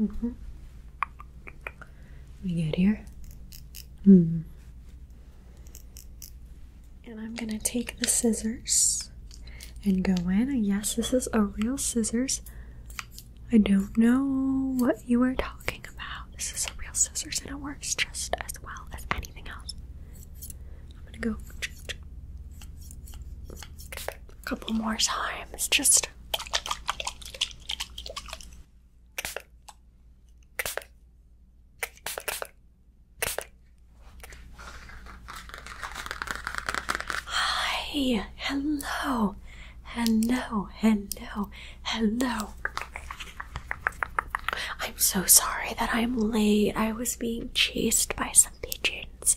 Mm-hmm. We get here. Hmm. And I'm gonna take the scissors and go in. Yes, this is a real scissors. I don't know what you are talking this is a real scissors and it works just as well as anything else. I'm gonna go a couple more times, just. Hi, hello, hello, hello. Hello. I'm so sorry that I'm late. I was being chased by some pigeons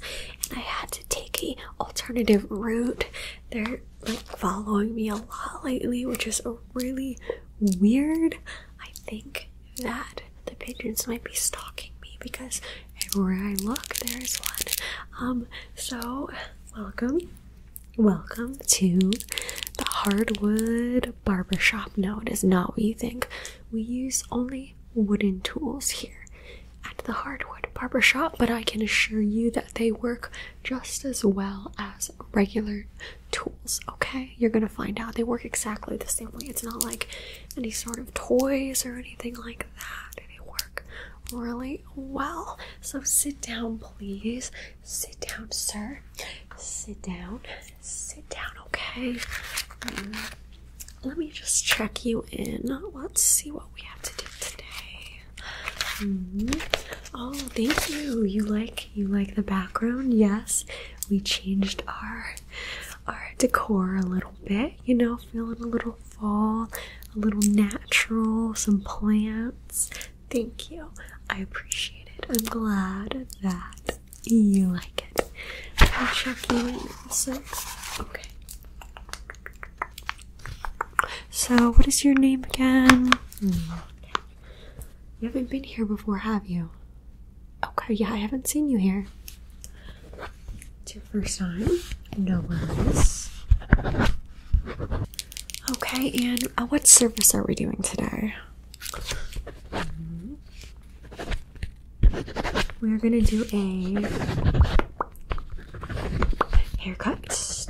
and I had to take a alternative route. They're like following me a lot lately, which is really weird. I think that the pigeons might be stalking me because everywhere I look there is one. Um so welcome. Welcome to the hardwood barbershop. No, it is not what you think. We use only wooden tools here at the hardwood barbershop, but I can assure you that they work just as well as regular tools, okay? You're gonna find out they work exactly the same way. It's not like any sort of toys or anything like that. They work really well. So sit down, please. Sit down, sir. Sit down. Sit down, okay? Mm. let me just check you in. Let's see what we have to do today. Mm-hmm. Oh, thank you. You like you like the background? Yes. We changed our our decor a little bit, you know, feeling a little fall, a little natural, some plants, Thank you. I appreciate it. I'm glad that you like it. I'll check you in Okay. So, what is your name again? Hmm. You haven't been here before, have you? Okay, yeah, I haven't seen you here. It's your first time. No worries. Okay, and uh, what service are we doing today? We're gonna do a haircut,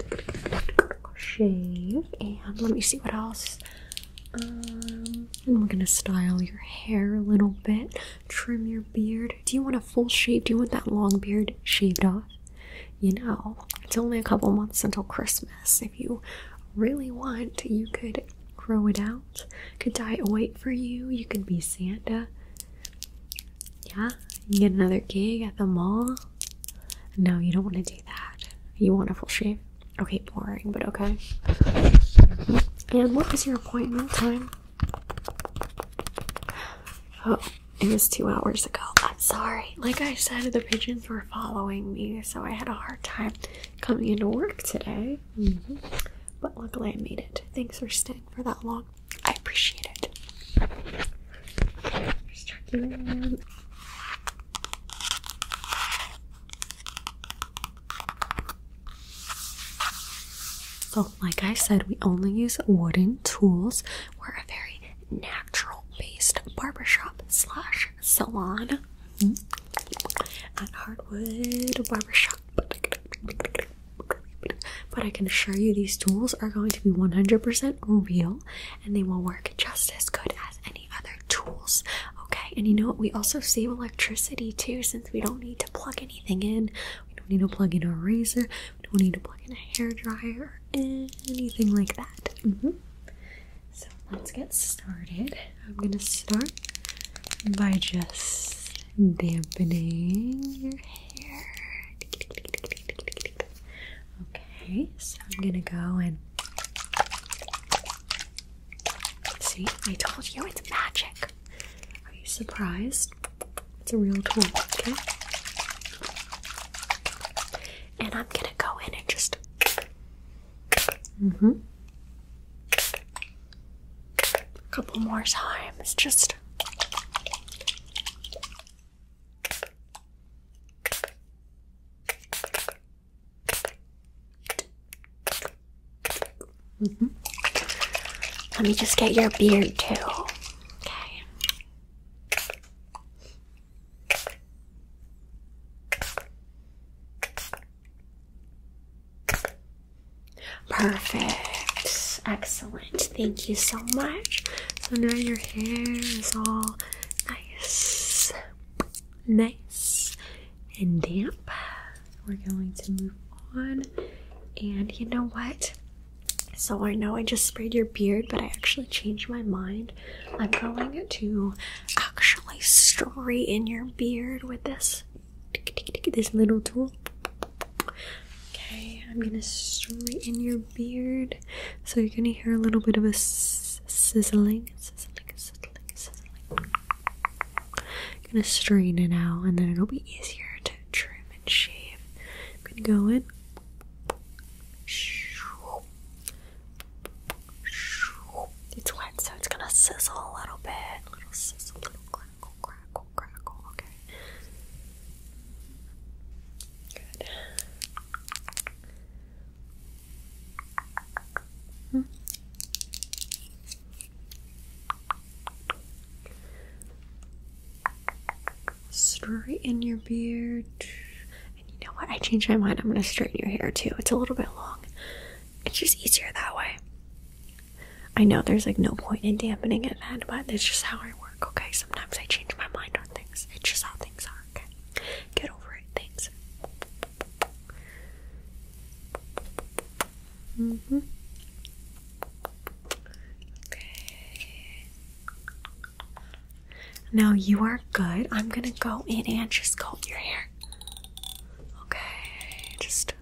shave, and let me see what else. Um, and we're gonna style your hair a little bit, trim your beard. Do you want a full shave? Do you want that long beard shaved off? You know, it's only a couple months until Christmas. If you really want, you could grow it out, could dye it white for you, you could be Santa. Yeah, you get another gig at the mall. No, you don't want to do that. You want a full shave? Okay, boring, but okay. And what was your appointment time? Oh, it was two hours ago. I'm sorry. Like I said, the pigeons were following me, so I had a hard time coming into work today. Mm-hmm. But luckily, I made it. Thanks for staying for that long. I appreciate it. Just So, like I said, we only use wooden tools. We're a very natural natural based barbershop slash salon and Hardwood Barbershop. But I can assure you these tools are going to be 100% real and they will work just as good as any other tools. Okay, and you know what? We also save electricity too since we don't need to plug anything in. We don't need to plug in a razor, we don't need to plug in a hair dryer anything like that. Mm-hmm. So let's get started. I'm gonna start by just dampening your hair. Okay, so I'm gonna go and see. I told you it's magic. Are you surprised? It's a real tool, okay? And I'm gonna go in and just. Mm hmm. A couple more times, just. Mm -hmm. Let me just get your beard too. Okay. Perfect. Excellent. Thank you so much. So now your hair is all nice, nice, and damp. We're going to move on. And you know what? So I know I just sprayed your beard, but I actually changed my mind. I'm going to actually straighten your beard with this this little tool. Okay, I'm gonna straighten your beard, so you're gonna hear a little bit of a sizzling, gonna straighten it out, and then it'll be easier to trim and shave. I'm gonna go in. It's wet, so it's gonna sizzle a little bit. A little sizzle, little crackle, crackle, crackle. Okay. Good. Hmm. Straighten your beard. And you know what? I changed my mind. I'm going to straighten your hair too. It's a little bit long. It's just easier that way. I know there's like no point in dampening it then, but that's just how I work, okay? Sometimes I change my mind on things. It's just how things are, okay? Get over it. Thanks. Mm-hmm. Okay. Now you are good. I'm gonna go in and just comb your hair. Okay, just.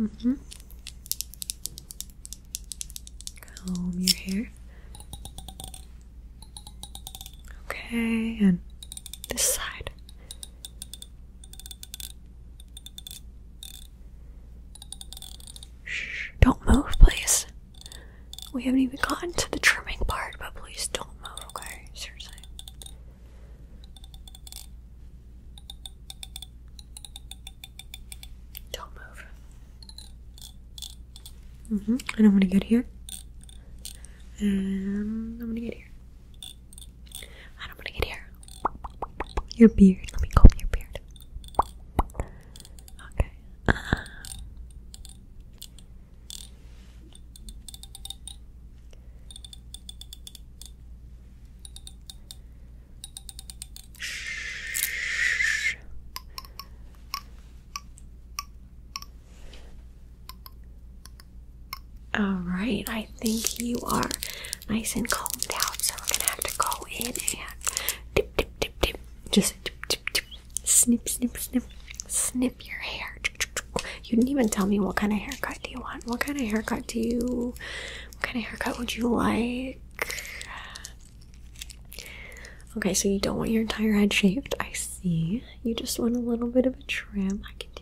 Mm hmm. Comb your hair. Okay, and this side. Shh, don't move, please. We haven't even gotten to the trimming part, but please don't move, okay? Seriously. Don't move. hmm I'm gonna get here. And I'm gonna get here. I don't want to get here. Your beard. Let me comb your beard. Okay. Shh. All right, I think you are nice and combed out, so we're gonna have to go in and dip, dip, dip, dip. Just dip, dip, dip. snip, snip, snip, snip your hair. You didn't even tell me what kind of haircut do you want. What kind of haircut do you? What kind of haircut would you like? Okay, so you don't want your entire head shaved. I see. You just want a little bit of a trim. I can do.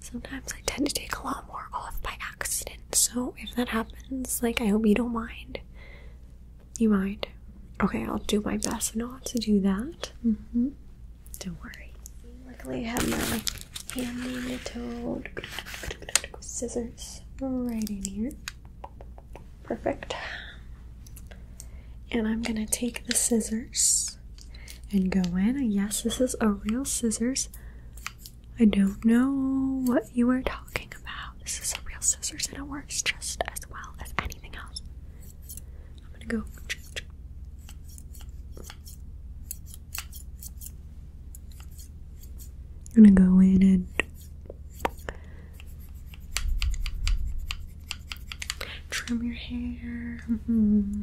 Sometimes I tend to take a lot more off by accident, so if that happens, like, I hope you don't mind. You mind? Okay, I'll do my best not to do that. Mm-hmm. Don't worry. Luckily, I have my hand toed scissors right in here. Perfect. And I'm gonna take the scissors and go in. And yes, this is a real scissors. I don't know what you are talking about. This is a real scissors and it works just as well as anything else. I'm gonna go. I'm gonna go in and trim your hair. Mm-hmm.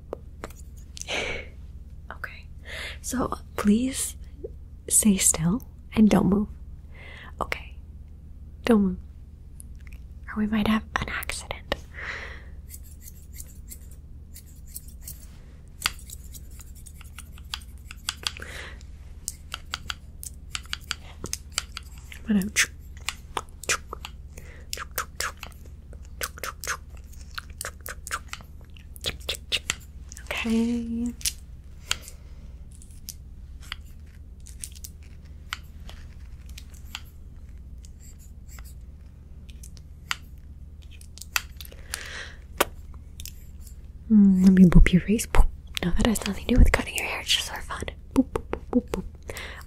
okay. So please stay still and don't move. Okay. Don't move. Or we might have an accident. i Okay. Mm, let me boop your face. Boop. No, that has nothing to do with cutting your hair. It's just for fun. boop, boop, boop, boop.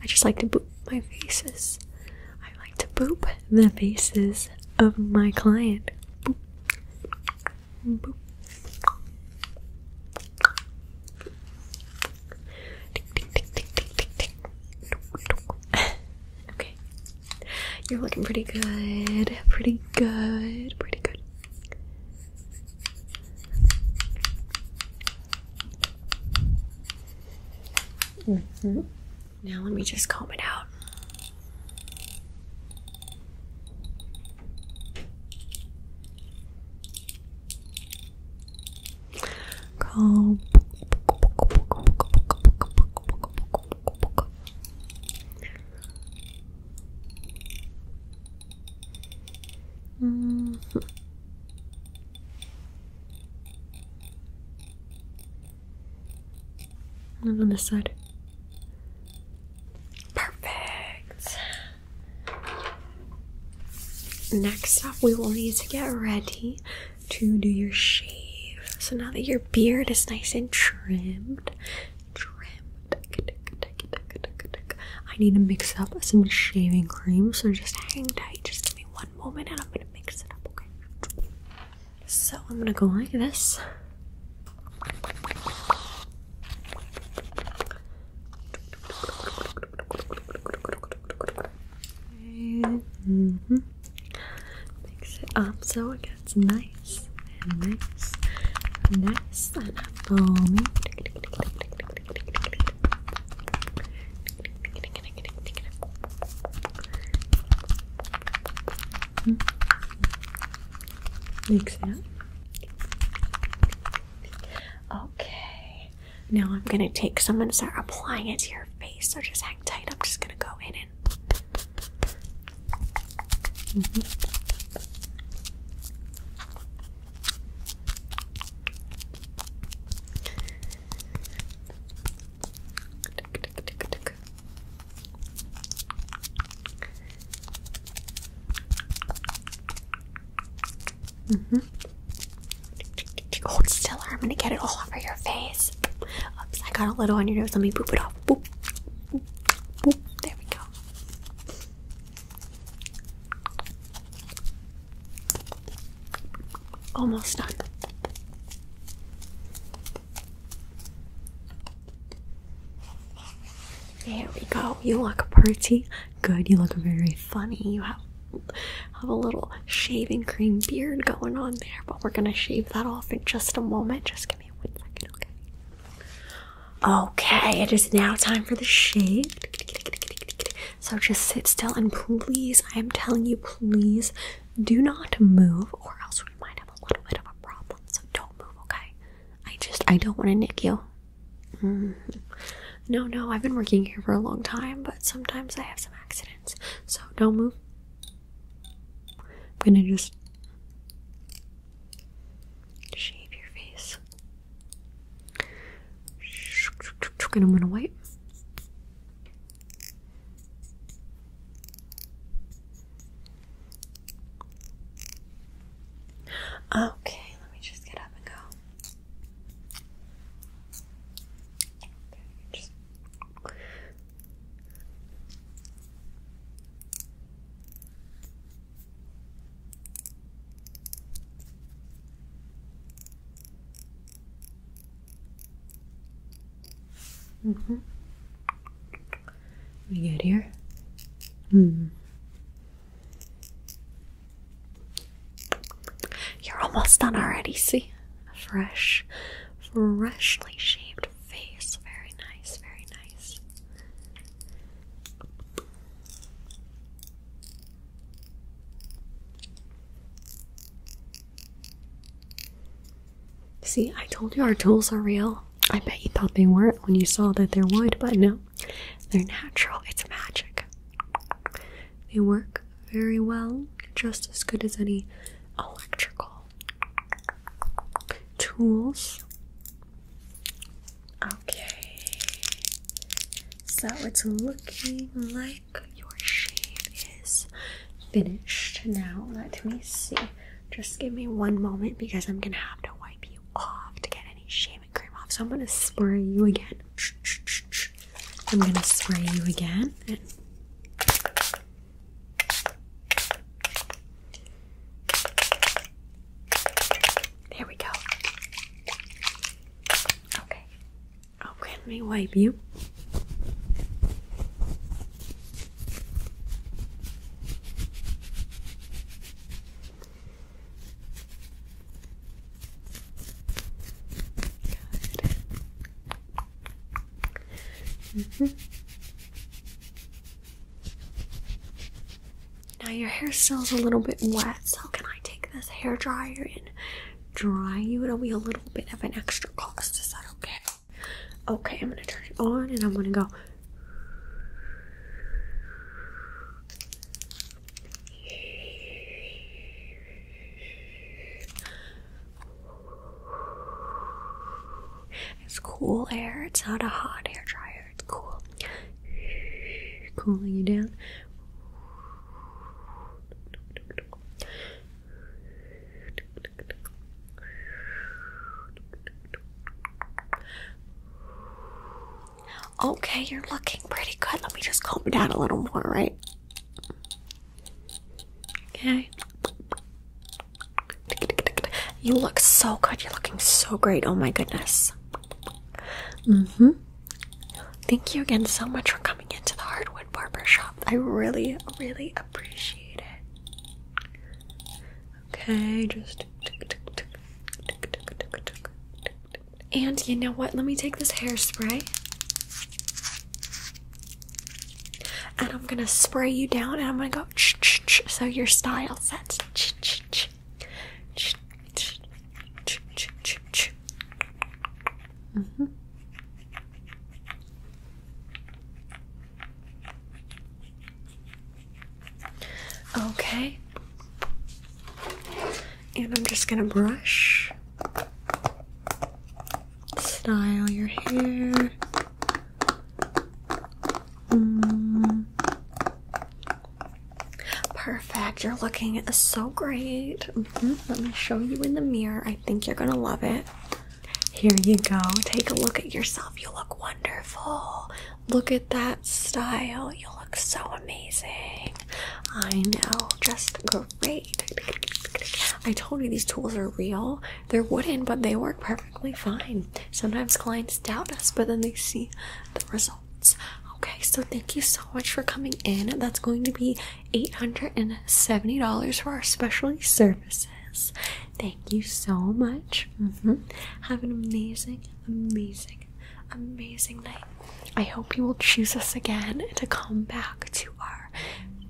I just like to boop my faces. I like to boop the faces of my client. okay. You're looking pretty good. Pretty good. Pretty good. Mm-hmm. Now let me just comb it out. Comb. Mm-hmm. And on this side. Perfect. Next up, we will need to get ready to do your shave. So now that your beard is nice and trimmed, trimmed, I need to mix up some shaving cream. So just hang tight. Just give me one moment and I'm gonna mix it up, okay? So I'm gonna go like this. mm -hmm. Mix it up so it gets nice nice nice and foamy. Mix it up. Okay. Now I'm gonna take some and start applying it to your face. So just hang tight. I'm just gonna go in and. Mm-hmm. Hold still, I'm gonna get it all over your face. Oops, I got a little on your nose. Let me boop it off. Boop. Boop. There we go. Almost done. There we go. You look pretty good. You look very funny. You have have a little shaving cream beard going on there, but we're gonna shave that off in just a moment. Just give me one second, okay? Okay, it is now time for the shave. So just sit still and please, I am telling you, please do not move or else we might have a little bit of a problem. So don't move, okay? I just, I don't want to nick you. Mm-hmm. No, no, I've been working here for a long time, but sometimes I have some accidents. So don't move. I'm gonna just shave your face. And I'm gonna wait. Okay, let me just get up and go. Mm-hmm. We get here. Hmm. You're almost done already, see? Fresh, freshly shaved face. Very nice, very nice. See, I told you our tools are real. I bet you thought they weren't when you saw that they're wood, but no, they're natural. It's magic. They work very well, just as good as any electrical tools. Okay, so it's looking like your shave is finished. Now, let me see. Just give me one moment because I'm gonna have to wipe you off to get any shaving cream off. So, I'm gonna spray you again. I'm gonna spray you again. There we go. Okay. Okay, oh, let me wipe you. Good. -hmm. Now your hair still is a little bit wet, so can I take this hair dryer and dry you? It'll be a little bit of an extra cost. Is that okay? Okay, I'm gonna turn it on and I'm gonna go. It's cool air, it's not a hot hair dryer cool. Cooling you down. Okay, you're looking pretty good. Let me just calm down a little more, right? Okay. You look so good. You're looking so great. Oh my goodness. Mm-hmm. Thank you again so much for coming into the Hardwood Barber Shop. I really, really appreciate it. Okay, just and you know what? Let me take this hairspray. And I'm gonna spray you down and I'm gonna go ch ch ch so your style sets. Mm -hmm. Okay, and I'm just gonna brush, style your hair. Mm. Perfect. You're looking so great. Mm-hmm. Let me show you in the mirror. I think you're going to love it. Here you go. Take a look at yourself. You look wonderful. Look at that style. You look so amazing. I know. Just great. I told you these tools are real. They're wooden, but they work perfect perfectly fine. Sometimes clients doubt us, but then they see the results. Okay, so thank you so much for coming in. That's going to be $870 for our specialty services. Thank you so much. Mm-hmm. Have an amazing, amazing, amazing night. I hope you will choose us again to come back to our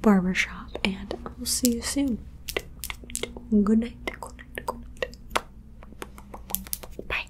barbershop, and we'll see you soon. Good night. Good night. Good night. Bye.